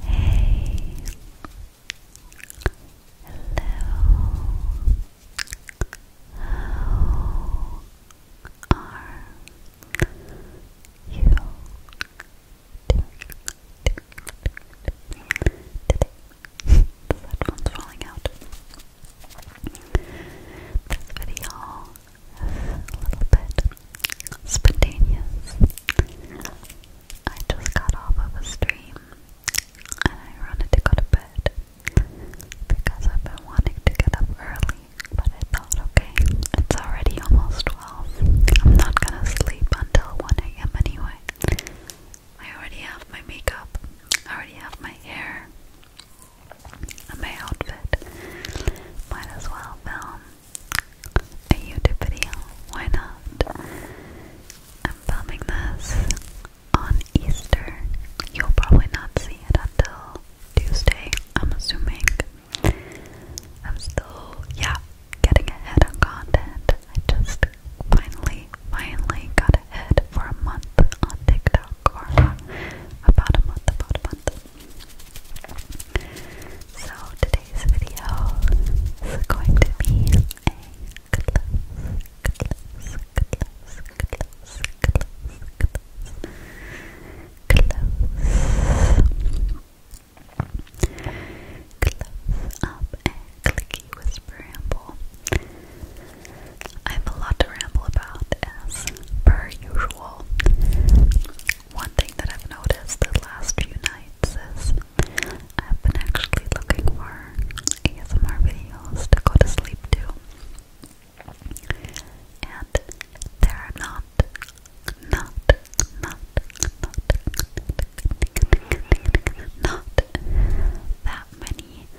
Hey. Hello. How are you doing today? the headphone's falling out. This video is a little bit spontaneous. I just got off of a stream and I wanted to go to bed because I've been wanting to get up early, but I thought, okay, it's already almost 12. I'm not gonna sleep until 1 a.m. anyway. I already have my makeup, I already have my hair my outfit. Might as well film a YouTube video. Why not? I'm filming this on Easter. You'll probably not see it until Tuesday, I'm assuming. I'm still, yeah, getting ahead on content. I just finally, finally got ahead for a month on TikTok or about a month, about a month. So today's video is going to be a close, close, close, close, close, close. Close up a clicky whisper ramble. I have a lot to ramble about as per usual. One thing that I've noticed the last few nights is I've been actually looking for ASMR videos to go to sleep to. And there are not, not, not, not, not that many. Oh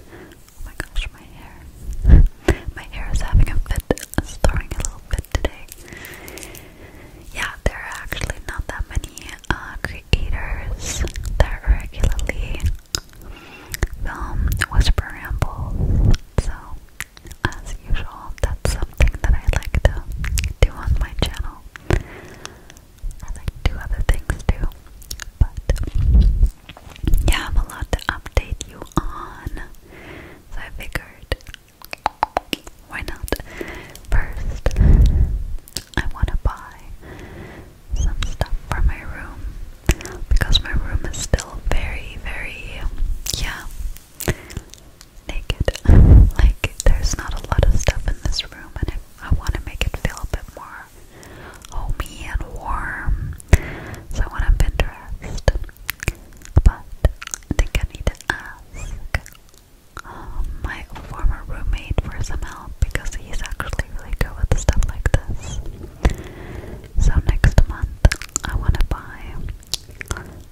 my gosh, my hair. my hair is having a fit, it's throwing a little bit today. Yeah, there are actually not that many uh, creators that regularly film um, whisper rambles. So, as usual, that's something that I like to do on my channel. I like to do other things too, but yeah, I have a lot to update you on. So I figured, why not? First, I want to buy some stuff for my room because my room is still very, very, yeah, naked. like, there's not a lot of stuff in this room, and I, I want to make it feel a bit more homey and warm. So I went on Pinterest but I think I need to ask um, my former roommate for some help because he's actually really good with stuff like this. So next month I want to buy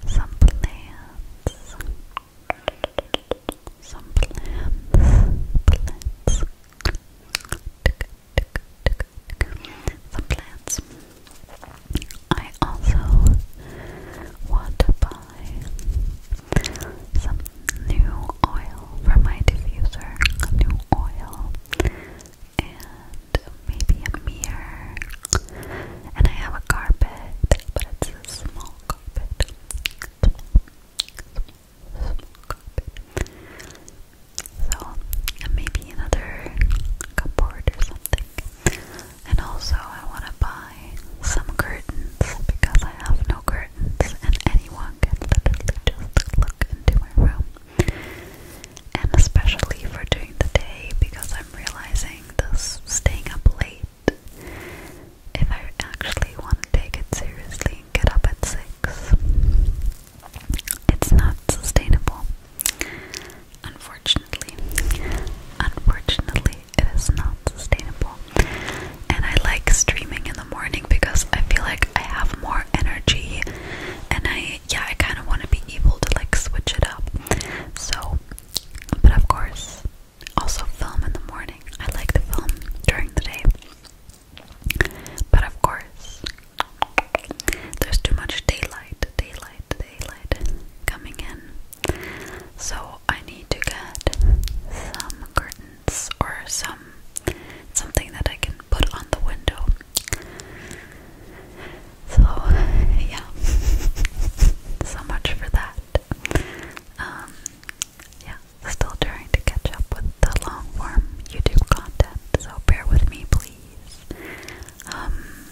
some plants. Some plants. Plants some plants. I also want to buy some new oil for my diffuser, new oil, and maybe a mirror. And I have a carpet, but it's a small carpet. small carpet. So, maybe another cupboard or something. And also, I want to buy some curtains because I have no curtains, and anyone can literally just look into my room. And especially for during the day because I'm realizing this staying up late. If I actually want to take it seriously and get up at 6, it's not sustainable. Unfortunately, unfortunately, it is not sustainable. And I like streaming in the morning because I feel like I have more energy, and I yeah, I kind of want to be able to like switch it up. So, but of course, also film in the morning. I like to film during the day, but of course, there's too much daylight, daylight, daylight coming in. So I need to get some curtains or some something that I can put on the window. So yeah. so much for that. Um, yeah, still trying to catch up with the long form YouTube content, so bear with me please. Um,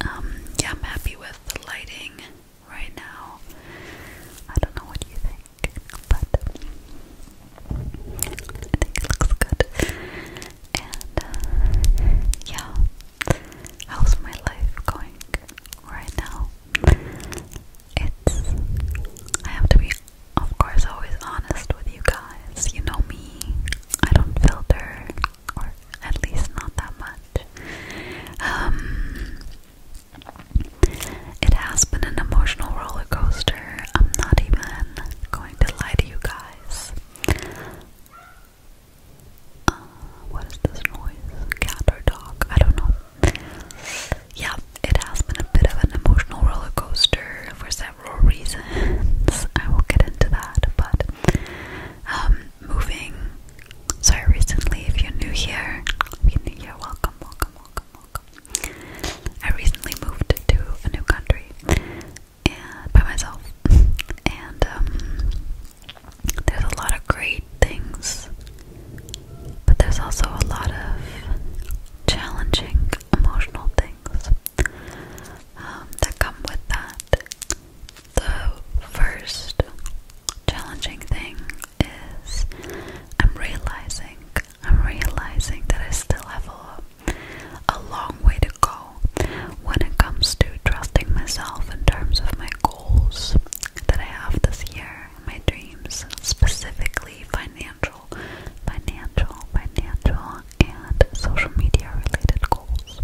Um, yeah, I'm happy with the lighting right now. I don't know what you think, but I think it looks good. And uh, yeah, how's my life going right now? It's. I have to be, of course, always honest with you guys. You know me. I don't filter or at least not that much. Um, it has been an emotional roller coaster. I'm not even going to lie to you guys. Uh, what is this noise? Cat or dog? I don't know. Yeah, it has been a bit of an emotional roller coaster for several reasons. I will get into that, but um, moving. So recently, if you're new here, if you're new here, welcome, welcome, welcome, welcome. I recently moved to a new country and, by myself, and um, there's a lot of great things, but there's also a lot of challenging emotional things um, that come with that the first challenging thing is I'm realizing I'm realizing that I still have a, a long way to go when it comes to trusting myself in terms of my goals that I have this year, my dreams, specifically financial, financial, financial, and social media related goals.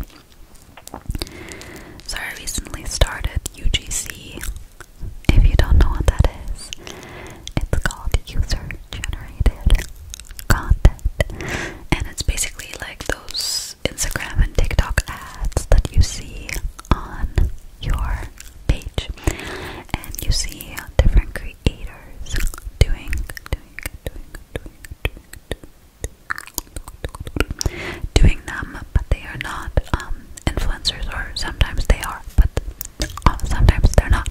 So I recently started UGC. If you don't know what that is, it's called user generated content. And it's basically like those Instagram and TikTok ads that you see on your page. And you see different creators doing, doing, doing, doing, doing, doing, doing them, but they are not um, influencers, or sometimes they are, but uh, sometimes they're not.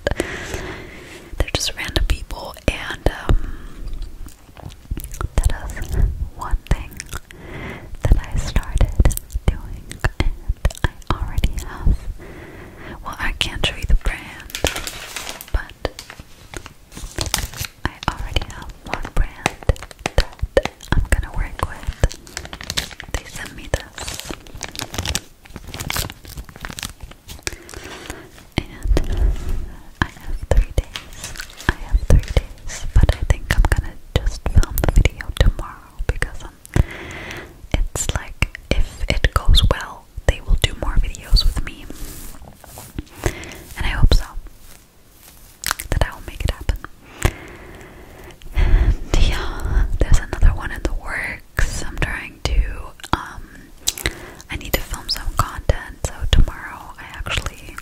They're just random people, and um, that is one thing that I started doing, and I already have. Well, I can't show you the brand, but I already have one brand that I'm gonna work with. They sent me this. And I have three days. I have three days, but I think I'm gonna just film the video tomorrow because I'm, um, it's like if it goes well, they will do more videos with me. And I hope so. That I will make it happen. yeah, there's another one in the works. I'm trying to, um, I need to film some content. So tomorrow I actually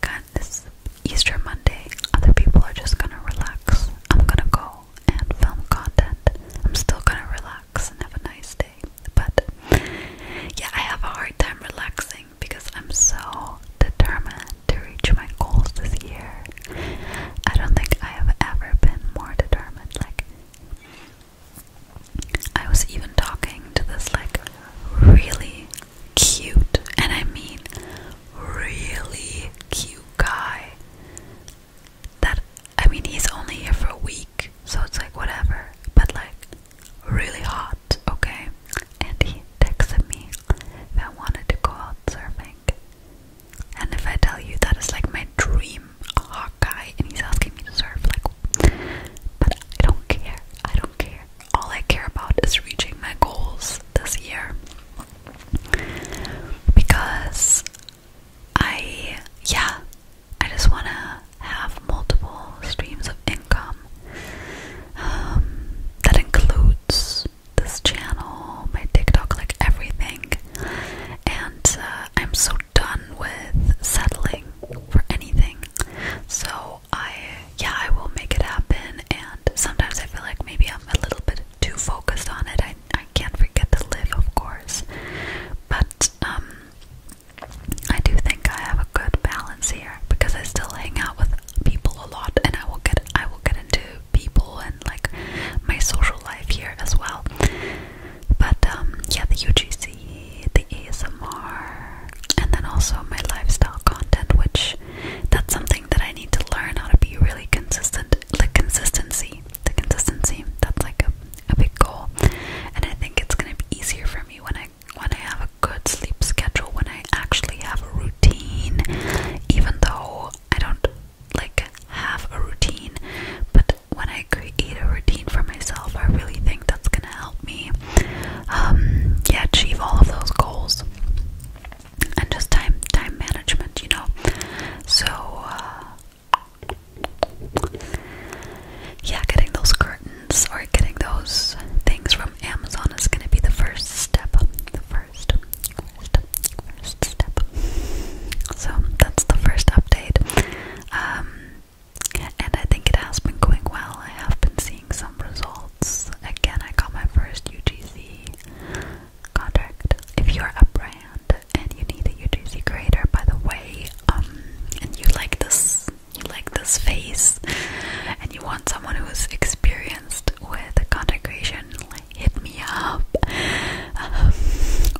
got this Easter Monday. Other people are just gonna relax. I'm gonna go and film content. I'm still gonna relax and have a nice day. But yeah, I have a hard time relaxing because I'm so determined to reach my goals this year. I don't think I have ever been more determined. Like, I was even talking to this, like, really cute, and I mean really cute guy. That, I mean, he's only here for a week, so it's like whatever, but like, really hot, okay? And he texted me that wanted to go out surfing. And if I tell you that is like my dream hot guy and he's asking me to surf, like, but I don't care. I don't care. All I care about is reaching my goals this year. Because I, yeah, I just wanna have multiple streams of income. Um, that includes this channel, my TikTok, like everything. And uh, I'm so done with settling for anything. So I, yeah, I will make it happen. And sometimes I feel like maybe I'm a little bit too focused on it. I, I can't forget to live, of course. But, um, I do think I have a good balance here because I still hang out with people a lot and I will get I will get into people and like my social life here as well. But um, yeah the UGC, the ASMR and then also my lifestyle content which that's something that I need to learn how to be really consistent the consistency. The consistency that's like a big goal. And I think it's gonna be easier for me when I when I have a good sleep schedule, when I actually have a routine, even though I don't like have a routine, but when I create a routine for myself, I really think that's gonna help me, um, yeah, achieve all of those goals and just time time management, you know. So, uh, yeah, getting those curtain or getting those things from Amazon is going to be the first step. The first, step. So that's the first update. Um, and I think it has been going well. I have been seeing some results. Again, I got my first UGC contract. If you're a brand and you need a UGC creator, by the way, um, and you like this you like this face and you want someone who's experienced with content creation, hit me up.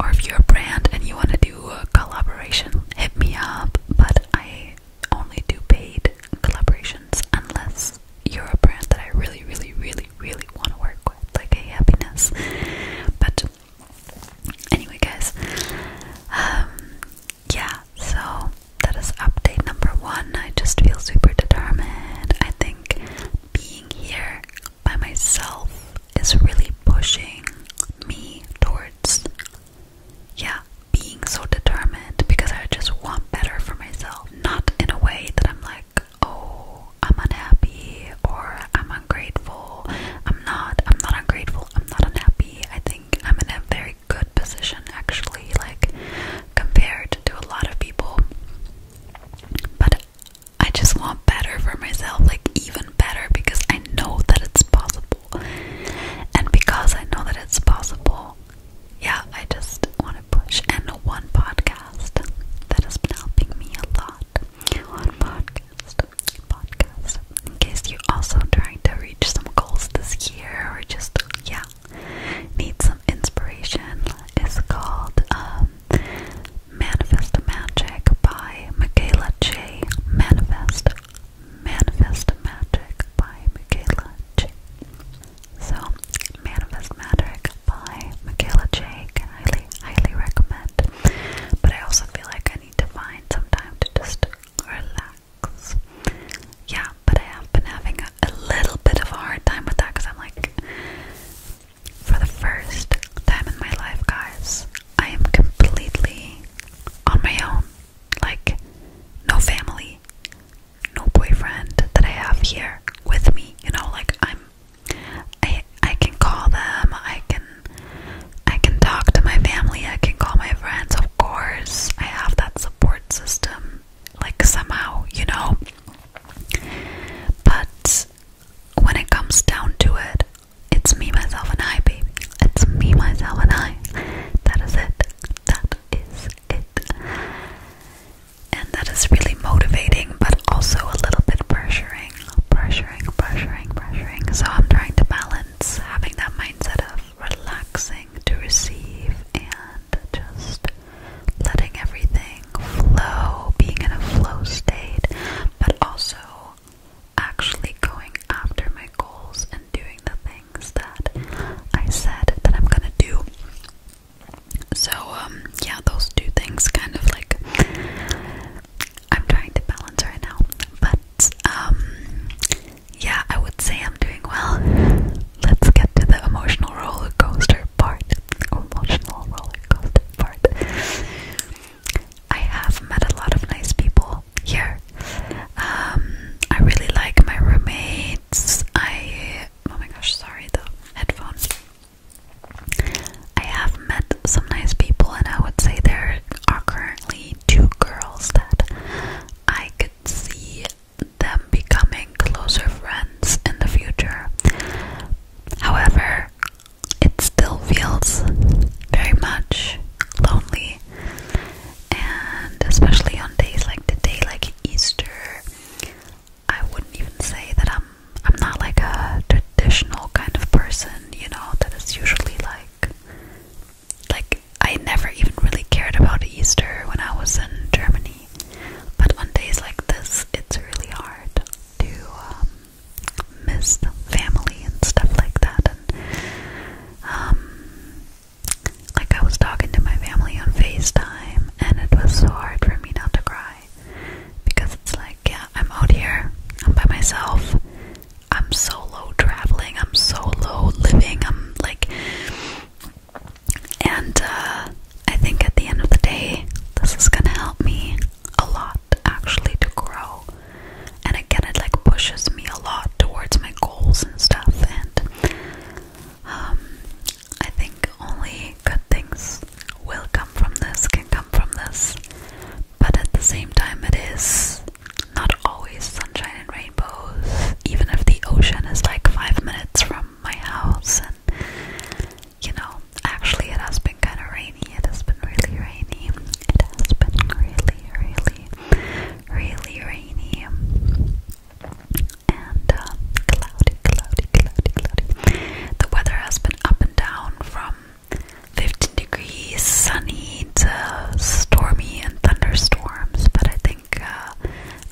or if you're a brand and you want to do a collaboration, hit me up. But I only do paid collaborations unless you're a brand that I really, really, really, really want to work with, like a happiness. But anyway, guys, um, yeah, so that is update number one. I just feel super determined. I think being here by myself is really pushing me towards, yeah, being so determined because I just want better for myself. Not in a way that I'm like, oh, I'm unhappy or I'm ungrateful. I'm not, I'm not ungrateful, I'm not unhappy. I think I'm in a very good position actually, like compared to a lot of people. But I just want better for myself, like even better, because I know that it's possible. And because I know that it's possible, yeah, I just want to push. And one podcast that has been helping me a lot. One podcast, podcast, in case you're also trying to reach some goals this year or just, yeah, need some inspiration, it's called um, Manifest Magic by Michaela J. Manifest. Manifest Magic by Michaela J. So, Manifest Magic by Michaela J. highly, highly recommend. But I also feel like I need to find some time to just relax yeah, but I have been having a little bit of a hard time with that because I'm like, for the first time in my life, guys, I am completely on my own. Like, no family, no boyfriend that I have here with me. You know, like I'm, I I can call them. I can, I can talk to my family. I can call my friends of course, I have that support system, like somehow, you know. But when it comes down to it, it's me, myself, and I, baby. It's me, myself, and I. That is it. That is it. And that is really motivating, but also a little bit pressuring. Pressuring, pressuring, pressuring. So I'm trying to balance having that mindset of relaxing to receive and just letting everything flow, being in a flow state, but also actually going after my goals and doing the things that I said that I'm gonna do. So, um, yeah, those two things kind of like I'm trying to balance right now, but um, yeah, I would say I'm doing well. Let's get to the emotional roller coaster part. Emotional roller coaster part. I have met a lot of nice people here. Um, I really like my roommates. I oh my gosh, sorry the headphones. I have met some nice people, and I would say there are currently two girls that I could see them becoming closer friends in the future. However, it still feels very much lonely, and especially on days like the day, like Easter, I wouldn't even say that I'm I'm not like a traditional kind of person, you know, that is usually like like I never even really cared about Easter when I was in Germany, but on days like this, it's really hard to um, miss the family and stuff like that. And um, like I was talking to my family on FaceTime, and it was so hard for me not to cry because it's like, yeah, I'm out here, I'm by myself. I'm so low traveling, I'm so low living, I'm like and uh, I think at the end of the day, this is gonna help me a lot actually to grow. And again, it like pushes me a lot towards my goals and stuff. And um, I think only good things will come from this, can come from this. But at the same time, it is not always sunshine and rainbows, even if the ocean is like five minutes from my house. And you know, actually, it has been kind of rainy. It has been really rainy. It has been really, really, really rainy. And uh, cloudy, cloudy, cloudy, cloudy. The weather has been up and down from 15 degrees, sunny to stormy and thunderstorms, but I think uh,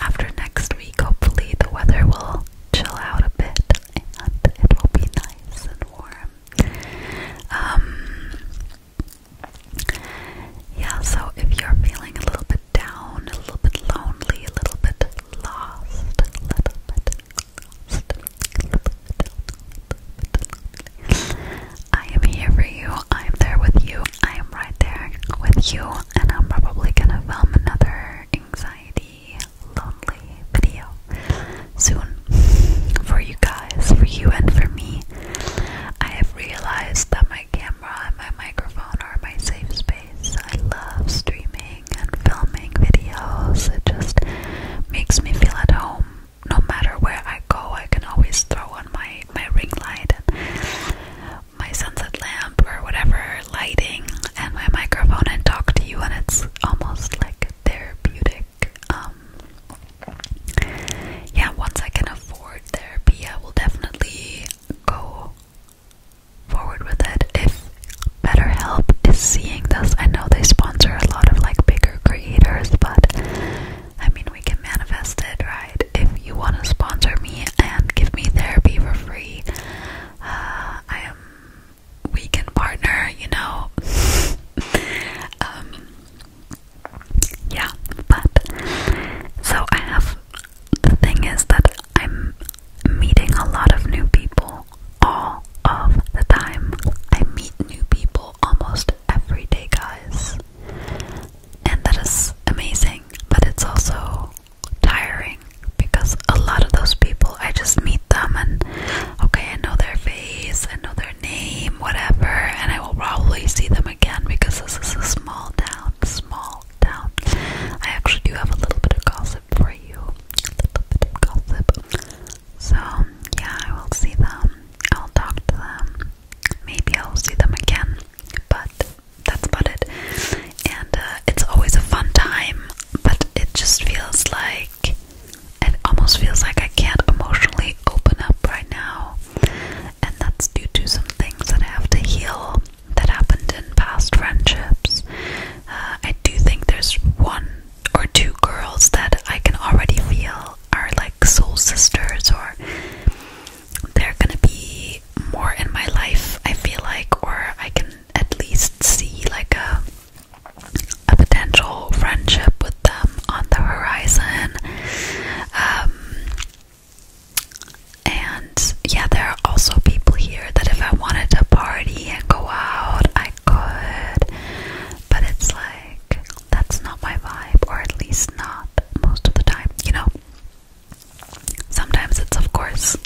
after next week, hopefully, the weather will chill out a bit and it will be nice and warm. Um, yeah, so if you're feeling a little bit down, a little bit lonely, a little bit lost, I am here for you. I am there with you. I right there with you, and I'm probably gonna film another anxiety, lonely video soon for you guys, for you and for me. I have realized that my camera and my microphone are my safe space. I love streaming and filming videos, it just makes me feel at home. No matter where I go, I can always throw on my, my ring light my sunset lamp or whatever lighting and my microphone and talk to you and it's almost like therapeutic um, yeah once i can afford therapy i will definitely go forward with it if BetterHelp is seeing this i know they sponsor a lot of like bigger creators but i mean we can manifest it, right? If you want to sponsor me and give me therapy for free, uh, I am we can partner, you know. um, yeah, but so I have. The thing is that I'm meeting a lot of new people all of the time. I meet new people almost every day, guys and that is amazing, but it's also tiring because a lot of those people I just meet them and okay, I know their face, I know their name, whatever, and I will probably see them again because this is a small town, small town. I actually do have a little bit of gossip for you, a little bit of gossip. So, yeah, I will see them, I'll talk to them, maybe I'll see them again, but that's about it. And uh, it's always a fun time, but it just feels like it almost feels like I can't emotionally open up right now. And that's due to some things that I have to heal that happened in past friendships. Uh, I do think there's one or two girls that I can already feel are like soul sisters or they're gonna be more in my life, I feel like, or I can at least see like a a potential friendship with them on the horizon. Um, and yeah, there are also people here that if I wanted to party and go out, I could. But it's like, that's not my vibe, or at least not most of the time, you know? Sometimes it's, of course,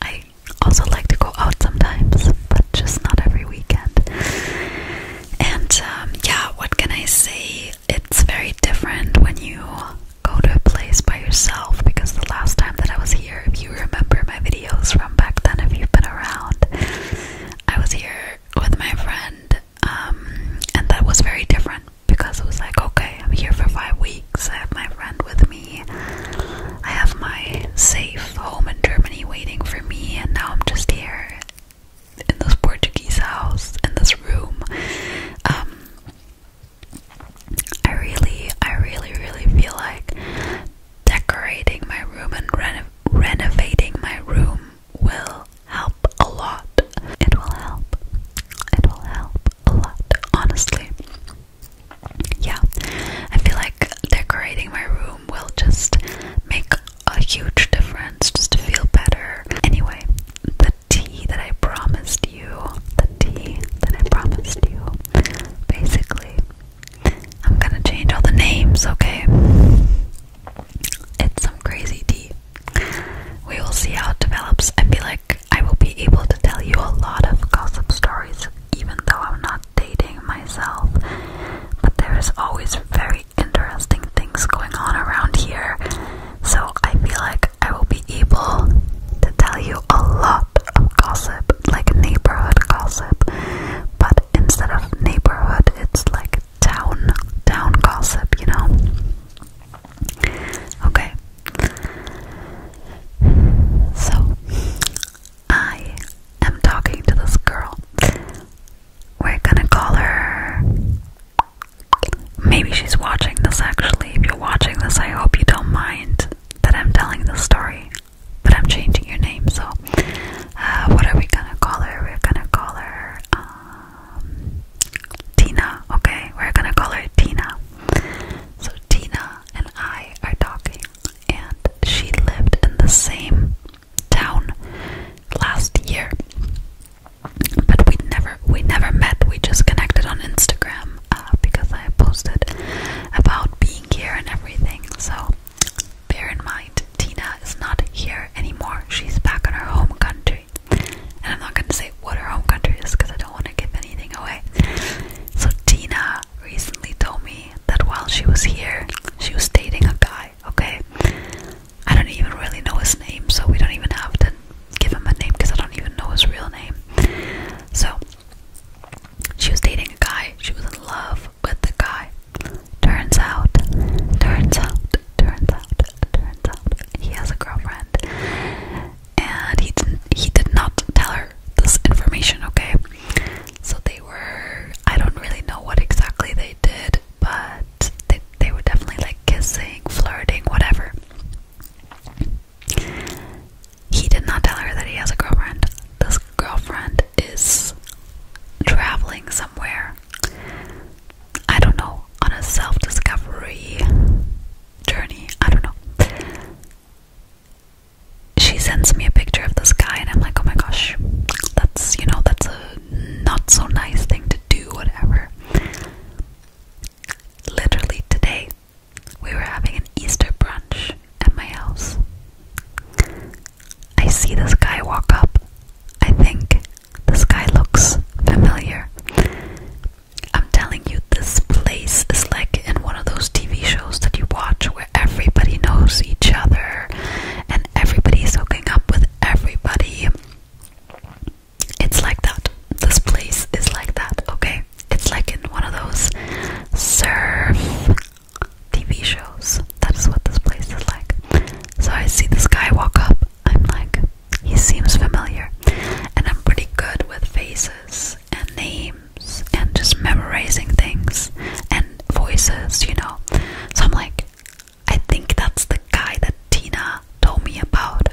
I also like to go out sometimes, but just not every weekend. And um, yeah, what can I say? It's very different when you go to a place by yourself because the last time that I was here, if you remember my videos from back then, if you've been around, I was here with my friend, um, and that was very different because it was like, okay, I'm here for five weeks. I have my friend with me. I have my safe home in Germany waiting for me, and now I'm just here in this Portuguese house in this room. Um, I really, I really, really feel like decorating my room and renovating my room will help a lot. It will help. It will help a lot, honestly. Yeah, I feel like decorating my room will just make a huge difference just to feel better. Anyway, the tea that I promised you, the tea that I promised you, basically, I'm gonna change all the names, okay? It's some crazy tea. We will see how it develops. I feel like I will be able to tell you a lot of gossip stories, even though I'm not dating myself. But there is always very interesting things going on around here, so I feel like I will be able to tell you a lot of gossip, like neighborhood gossip. But instead of neighborhood, it's like town town gossip, you know. Okay, so, I am talking to this girl. We're gonna call her. Maybe she's watching this actually. If you're watching this, I hope you don't mind that I'm telling the story. But I'm changing your name, so uh, what are we gonna call her? We're gonna call her. Uh, Tina, okay? We're gonna call her Tina. So Tina and I are talking, and she lived in the same town last year. But we never we never met. We just connected on Instagram uh, because I posted about being here and everything. So bear in mind, Tina is not here anymore. She's back in her home country. And I'm not going to say what her home country is because I don't want to give anything away. So, Tina recently told me that while she was here, she was dating a guy, okay? I don't even really know his name, so we don't even have to give him a name because I don't even know his real name. So, she was dating a guy, she was in love with the guy. Turns out, turns out, turns out, turns out, he has a girlfriend and he didn't, he did not tell her this information, okay? So they were I don't really know what exactly they did, but they they were definitely like kissing, flirting, whatever. He did not tell her that he has a girlfriend. This girlfriend is traveling somewhere. I don't know, on a self discovery journey. I don't know. She sends me a picture of this guy, and I'm like, oh my gosh, that's you know, that's a not so nice thing to do, whatever. Literally today, we were having an Easter brunch at my house. I see this guy walk up. I think this guy looks familiar. I'm telling you, this place is like in one of those TV shows that you watch where everybody knows each other and everybody's is hooking up with everybody. It's like that. This place is like that, okay? It's like in one of those surf TV shows. That's what this place is like. So I see this guy walk up. I'm like, he seems familiar, and I'm pretty good with faces and names and just memorizing things and voices, you know. So I'm like, I think that's the guy that Tina told me about.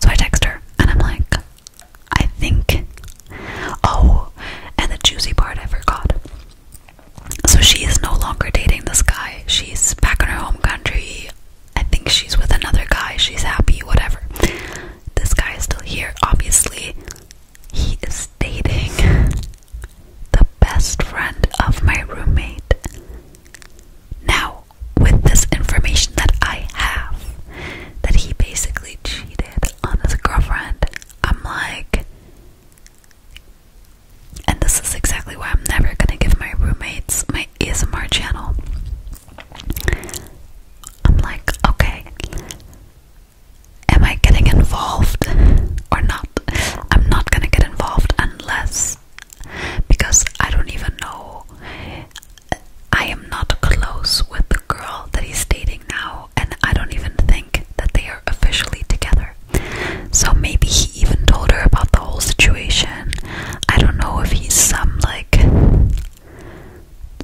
So I text her and I'm like, I think. Oh, and the juicy part I forgot. So she is no longer dating this guy. She's back in her home country I think she's with another guy, she's happy, whatever. This guy is still here, obviously. He is dating the best friend of my roommate. Now, with this information that I have, that he basically cheated on his girlfriend, I'm like, and this is exactly why I'm never gonna give my roommates my ASMR channel. I'm like, okay, am I getting involved or not? I'm not gonna get involved unless because I don't even know. I am not close with the girl that he's dating now, and I don't even think that they are officially together. So maybe he even told her about the whole situation I don't know if he's some like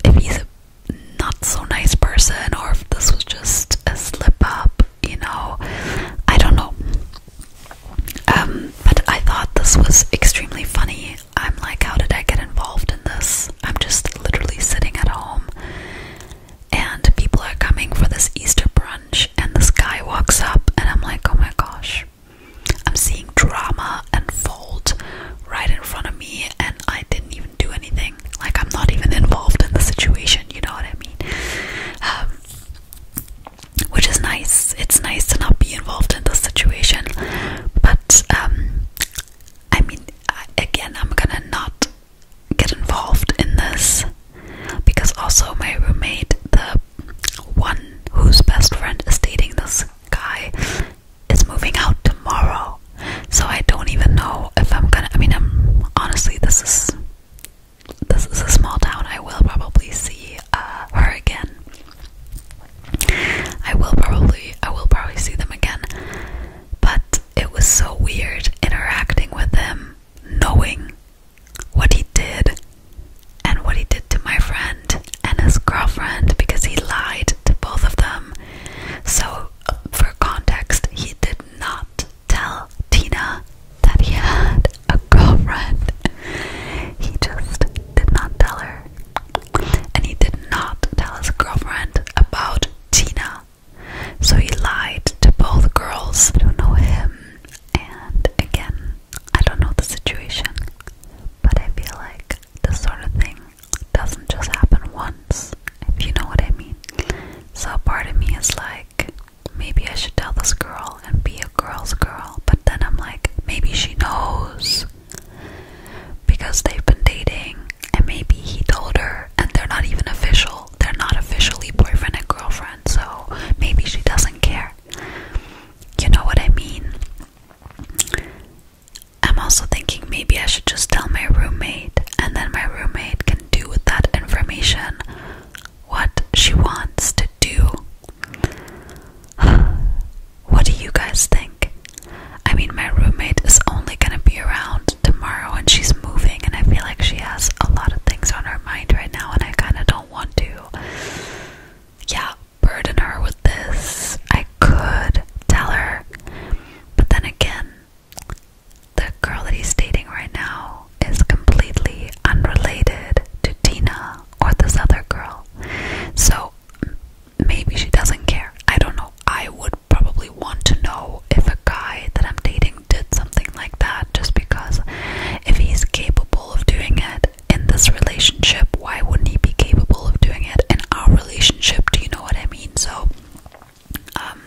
if he's a not so nice person or if this was just a slip up, you know. I don't know. Um, but I thought this was extremely funny. I'm like, how did I get involved in this? I'm just literally sitting at home and people are coming for this Easter brunch and this guy walks up and I'm like, oh my gosh. I'm seeing drama unfold right in front of me, and I didn't even do anything. Like, I'm not even involved in the situation, you know what I mean? Um, which is nice. It's nice to not be involved in the situation, but um, I mean, again, I'm gonna not get involved in this because also my roommate, the one whose best friend is dating this guy is moving out tomorrow. So I don't even know if I'm gonna I mean I'm honestly this is this is a small town. I will probably see uh, her again. I will probably I will probably see them again. But it was so weird interacting with them, knowing what he did, and what he did to my friend and his girlfriend because he lied to both of them. So, for context, he did not tell Tina that he had a girlfriend. He just did not tell her. And he did not tell his girlfriend about Tina. So he lied to both girls who know him. And again, I don't know the situation, but I feel like this sort of thing doesn't just happen once, if you know what I mean. So part of me is like, maybe I should tell this girl and be a girl's girl, but then I'm like, maybe she knows because they've been dating and maybe he told her and they're not even official. They're not officially boyfriend and girlfriend, so maybe she doesn't care. You know what I mean? I'm also thinking maybe I should just tell my roommate, and then my roommate can do with that information what she wants to do. what do you guys think? I mean, my roommate is only gonna be around tomorrow and she's moving, and I feel like she has a lot of things on her mind right now, and I kinda don't want to. Yeah, burden her with this. I could tell her. But then again, the girl that he's dating right now is completely unrelated to Tina or this other girl. So maybe she doesn't care. I don't know. I would probably want to know if a guy that I'm dating did something like that just because if he's capable of doing it, in this relationship, why wouldn't he be capable of doing it in our relationship? Do you know what I mean? So, um,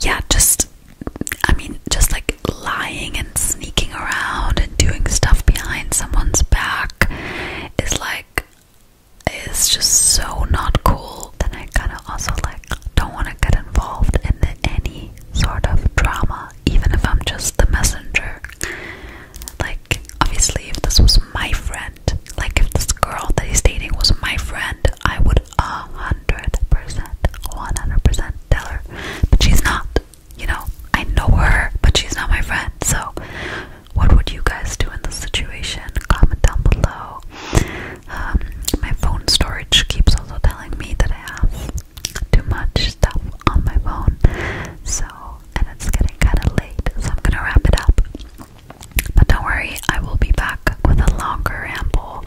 yeah, just I mean, just like lying and sneaking around and doing stuff behind someone's back is like its just so not cool. Then I kind of also like don't want to get involved in any sort of drama, even if I'm just the messenger. Like, obviously, if this was my friend, like if this girl that he's dating was my friend, I would a hundred percent, one hundred percent tell her. But she's not. You know, I know her, but she's not my friend. So, what would you guys do in this situation? Comment down below. Um, my phone storage keeps also telling me that I have too much stuff on my phone. So, and it's getting kind of late, so I'm gonna wrap it up. But don't worry, I will be back with a longer ramble.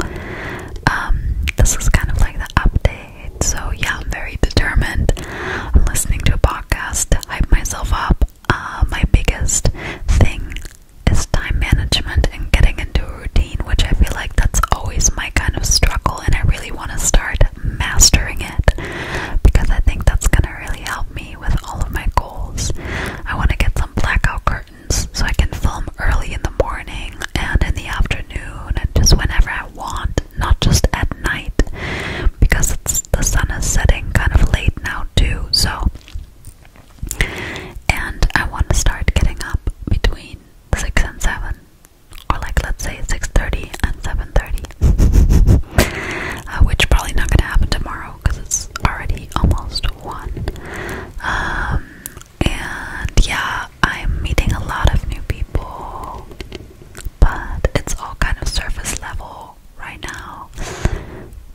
Um, this is kind of like the update, so yeah, I'm very determined. I'm listening to a podcast to hype myself up. Uh, my biggest thing is time management and getting into a routine, which I feel like that's always my kind of struggle, and I really want to start mastering it because I think that's going to really help me with all of my goals. I want to get some blackout curtains so I can film early in the morning and in the afternoon and just whenever I want, not just at night because the sun is setting kind of late now too. So and I want to start getting up between 6 and 7 or like let's say 6:30 and 7:30 uh, which probably not going to happen tomorrow because it's already almost one. Um, and yeah, I'm meeting a lot of new people, but it's all kind of surface level right now,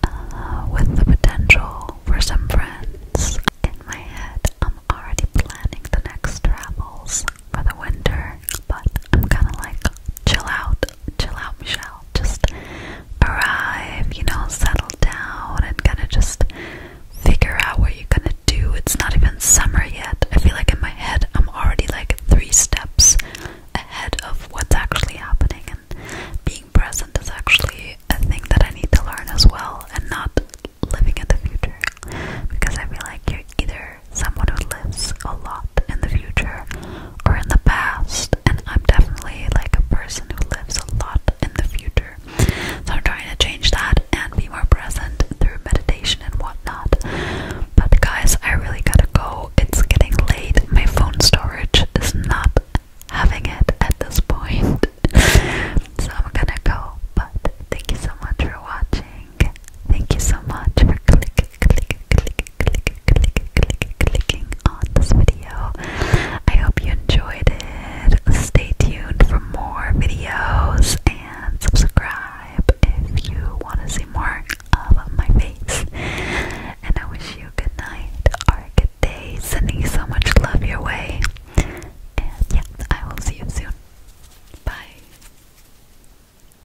uh, with the potential for some friends. In my head, I'm already planning the next travels for the winter, but I'm kind of like, chill out, chill out, Michelle. Just arrive, you know, settle down, and kind of just figure out what you're gonna do. It's not even summer yet. I feel like in my head, I'm already like three steps ahead of what's actually happening, and being present is actually a thing that I need to learn as well, and not living in the future because I feel like you're either someone who lives a lot in the future or in the past, and I'm definitely like a person who lives a lot in the future. So I'm trying to change that and be more present through meditation and whatnot. But guys, I really gotta go. It's getting late. My phone storage is not having it at this point. so I'm gonna go. But thank you so much for watching watching. Thank you so much for click, click, click, click, click, click, clicking on this video. I hope you enjoyed it. Stay tuned for more videos and subscribe if you want to see more of my face. And I wish you good night or good day. Sending you so much love your way. And yeah, I will see you soon. Bye.